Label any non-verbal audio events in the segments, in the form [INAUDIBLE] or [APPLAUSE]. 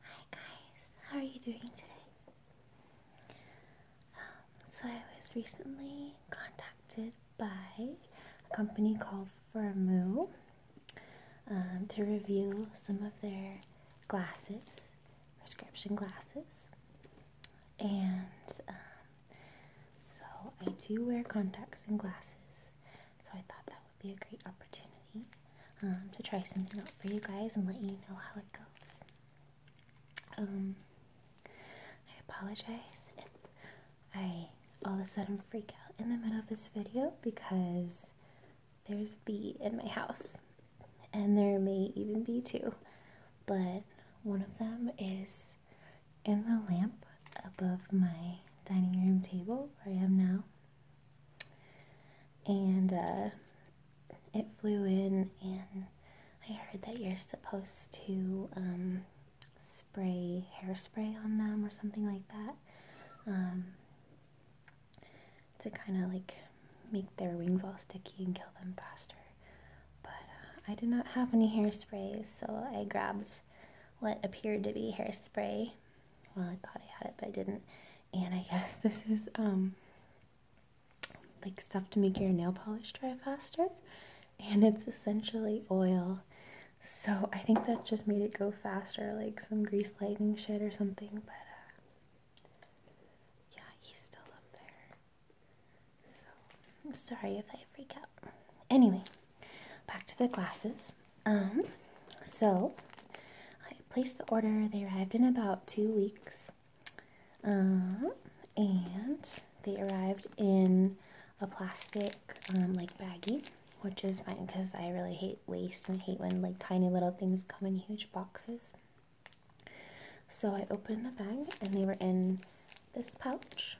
Hi guys, how are you doing today? Um, so I was recently contacted by a company called Firmoo um, to review some of their glasses, prescription glasses, and um, so I do wear contacts and glasses, so I thought that would be a great opportunity um, to try something out for you guys and let you know how it goes. Um, I apologize if I all of a sudden freak out in the middle of this video because there's a bee in my house, and there may even be two, but one of them is in the lamp above my dining room table where I am now and uh, it flew in, and I heard that you're supposed to um, spray hairspray on them or something like that um, to kind of like make their wings all sticky and kill them faster. But uh, I did not have any hairsprays, so I grabbed what appeared to be hairspray. Well, I thought I had it, but I didn't. And I guess this is um like stuff to make your nail polish dry faster. And it's essentially oil. So I think that just made it go faster, like some grease lightning shit or something. But uh, yeah, he's still up there. So sorry if I freak out. Anyway, back to the glasses. Um, so I placed the order. They arrived in about two weeks. Um, and they arrived in a plastic um, like baggie, which is fine because I really hate waste and hate when like tiny little things come in huge boxes. So I opened the bag and they were in this pouch.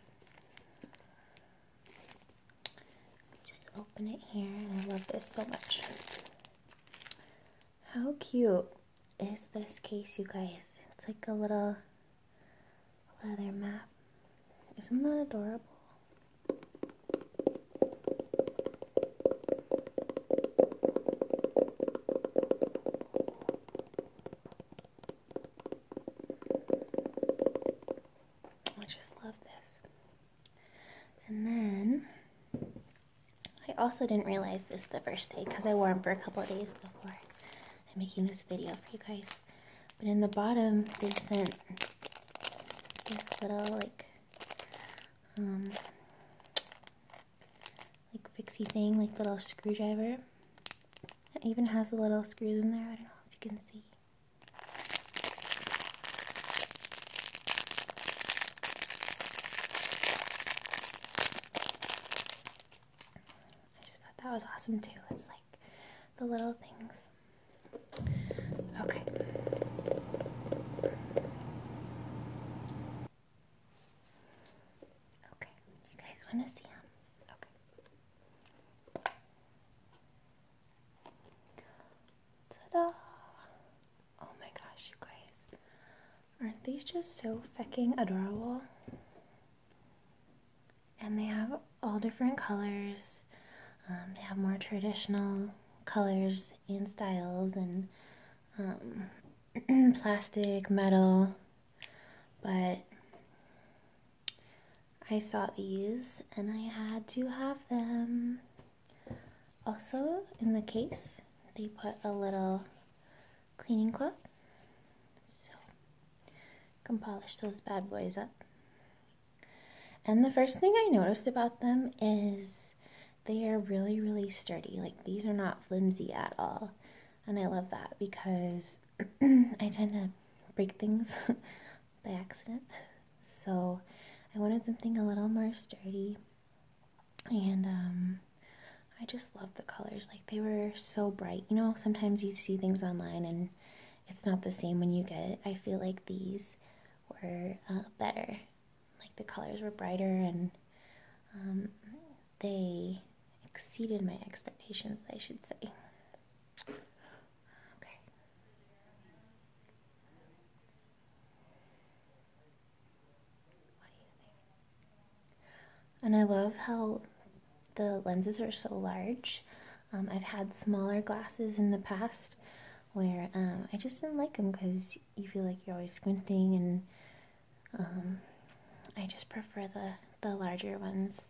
Just open it here and I love this so much. How cute is this case, you guys? It's like a little leather map. Isn't that adorable? I just love this. And then I also didn't realize this the first day because I wore them for a couple of days before I'm making this video for you guys. But in the bottom, they sent this little like, um, like fixie thing, like little screwdriver. It even has the little screws in there. I don't know if you can see. I just thought that was awesome too. It's like the little things. Okay. Okay. You guys want to see him? Okay. Ta-da! Oh my gosh, guys. Aren't these just so fucking adorable? And they have all different colors. Um, they have more traditional colors and styles and um, [CLEARS THROAT] plastic, metal. But I saw these and I had to have them. Also, in the case, they put a little cleaning cloth. So, can polish those bad boys up. And the first thing I noticed about them is they are really, really sturdy. Like, these are not flimsy at all. And I love that because [CLEARS THROAT] I tend to break things [LAUGHS] by accident. So, I wanted something a little more sturdy and um, I just love the colors. Like they were so bright. You know, sometimes you see things online and it's not the same when you get it. I feel like these were uh, better. Like the colors were brighter and um, they exceeded my expectations, I should say. Okay. And I love how the lenses are so large. Um, I've had smaller glasses in the past where um, I just didn't like them because you feel like you're always squinting and um, I just prefer the, the larger ones.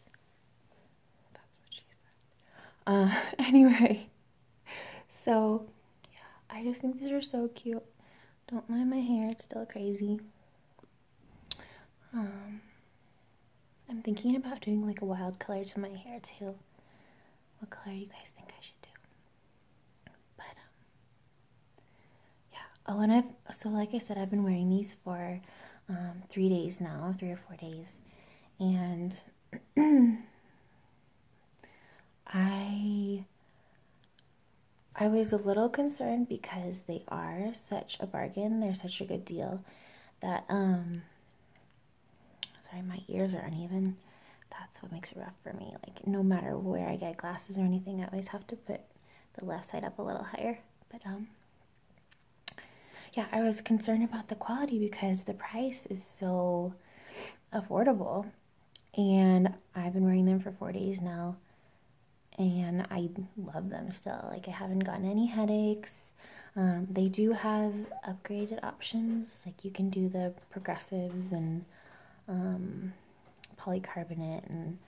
That's what she said. Uh, [LAUGHS] anyway, so yeah i just think these are so cute don't mind my hair it's still crazy um i'm thinking about doing like a wild color to my hair too what color you guys think i should do but um, yeah oh and i've so like i said i've been wearing these for um, three days now three or four days and [CLEARS THROAT] I I was a little concerned because they are such a bargain. They're such a good deal that um sorry, my ears are uneven. That's what makes it rough for me. Like no matter where I get glasses or anything, I always have to put the left side up a little higher. But um yeah, I was concerned about the quality because the price is so affordable and I've been wearing them for four days now, and I love them still. Like I haven't gotten any headaches. Um, they do have upgraded options, like you can do the progressives and um, polycarbonate and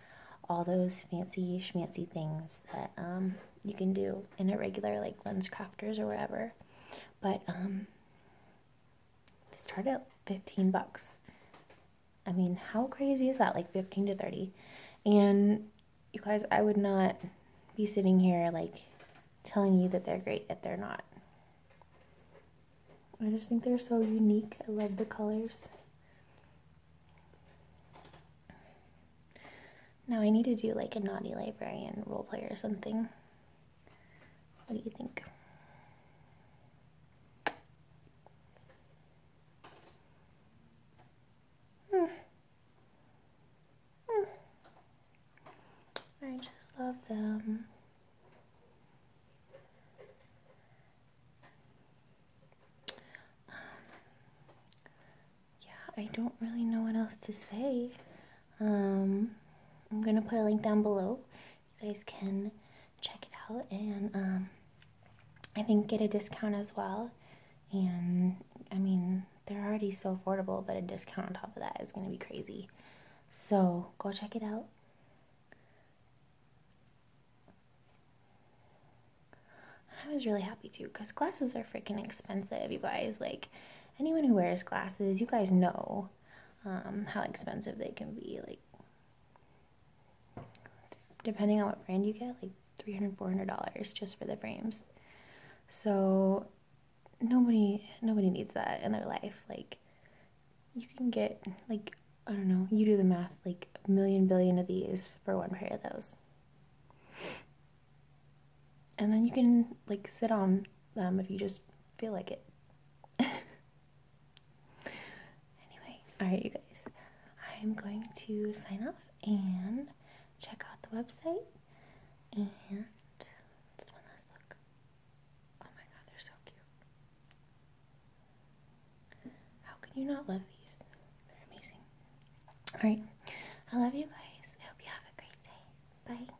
all those fancy schmancy things that um, you can do in a regular like lens crafters or wherever. But they start at 15 bucks. I mean, how crazy is that? Like 15 to 30. And you guys, I would not be sitting here like telling you that they're great if they're not. I just think they're so unique. I love the colors. Now I need to do like a naughty librarian role play or something. What do you think? Hmm. Hmm. I just love them. Um, yeah, I don't really know what else to say. Um, I'm gonna put a link down below you guys can check it out and um, I think get a discount as well. And I mean, they're already so affordable, but a discount on top of that is going to be crazy. So go check it out. I was really happy too because glasses are freaking expensive, you guys. Like, anyone who wears glasses, you guys know um, how expensive they can be. Like, depending on what brand you get, like $300, $400 just for the frames. So nobody nobody needs that in their life. Like you can get like I don't know, you do the math, like a million billion of these for one pair of those. And then you can like sit on them if you just feel like it. [LAUGHS] Anyway, alright, you guys, I'm going to sign off and check out the website. And one last look. Oh my god, they're so cute. How can you not love these? They're amazing. Alright, I love you guys. I hope you have a great day. Bye.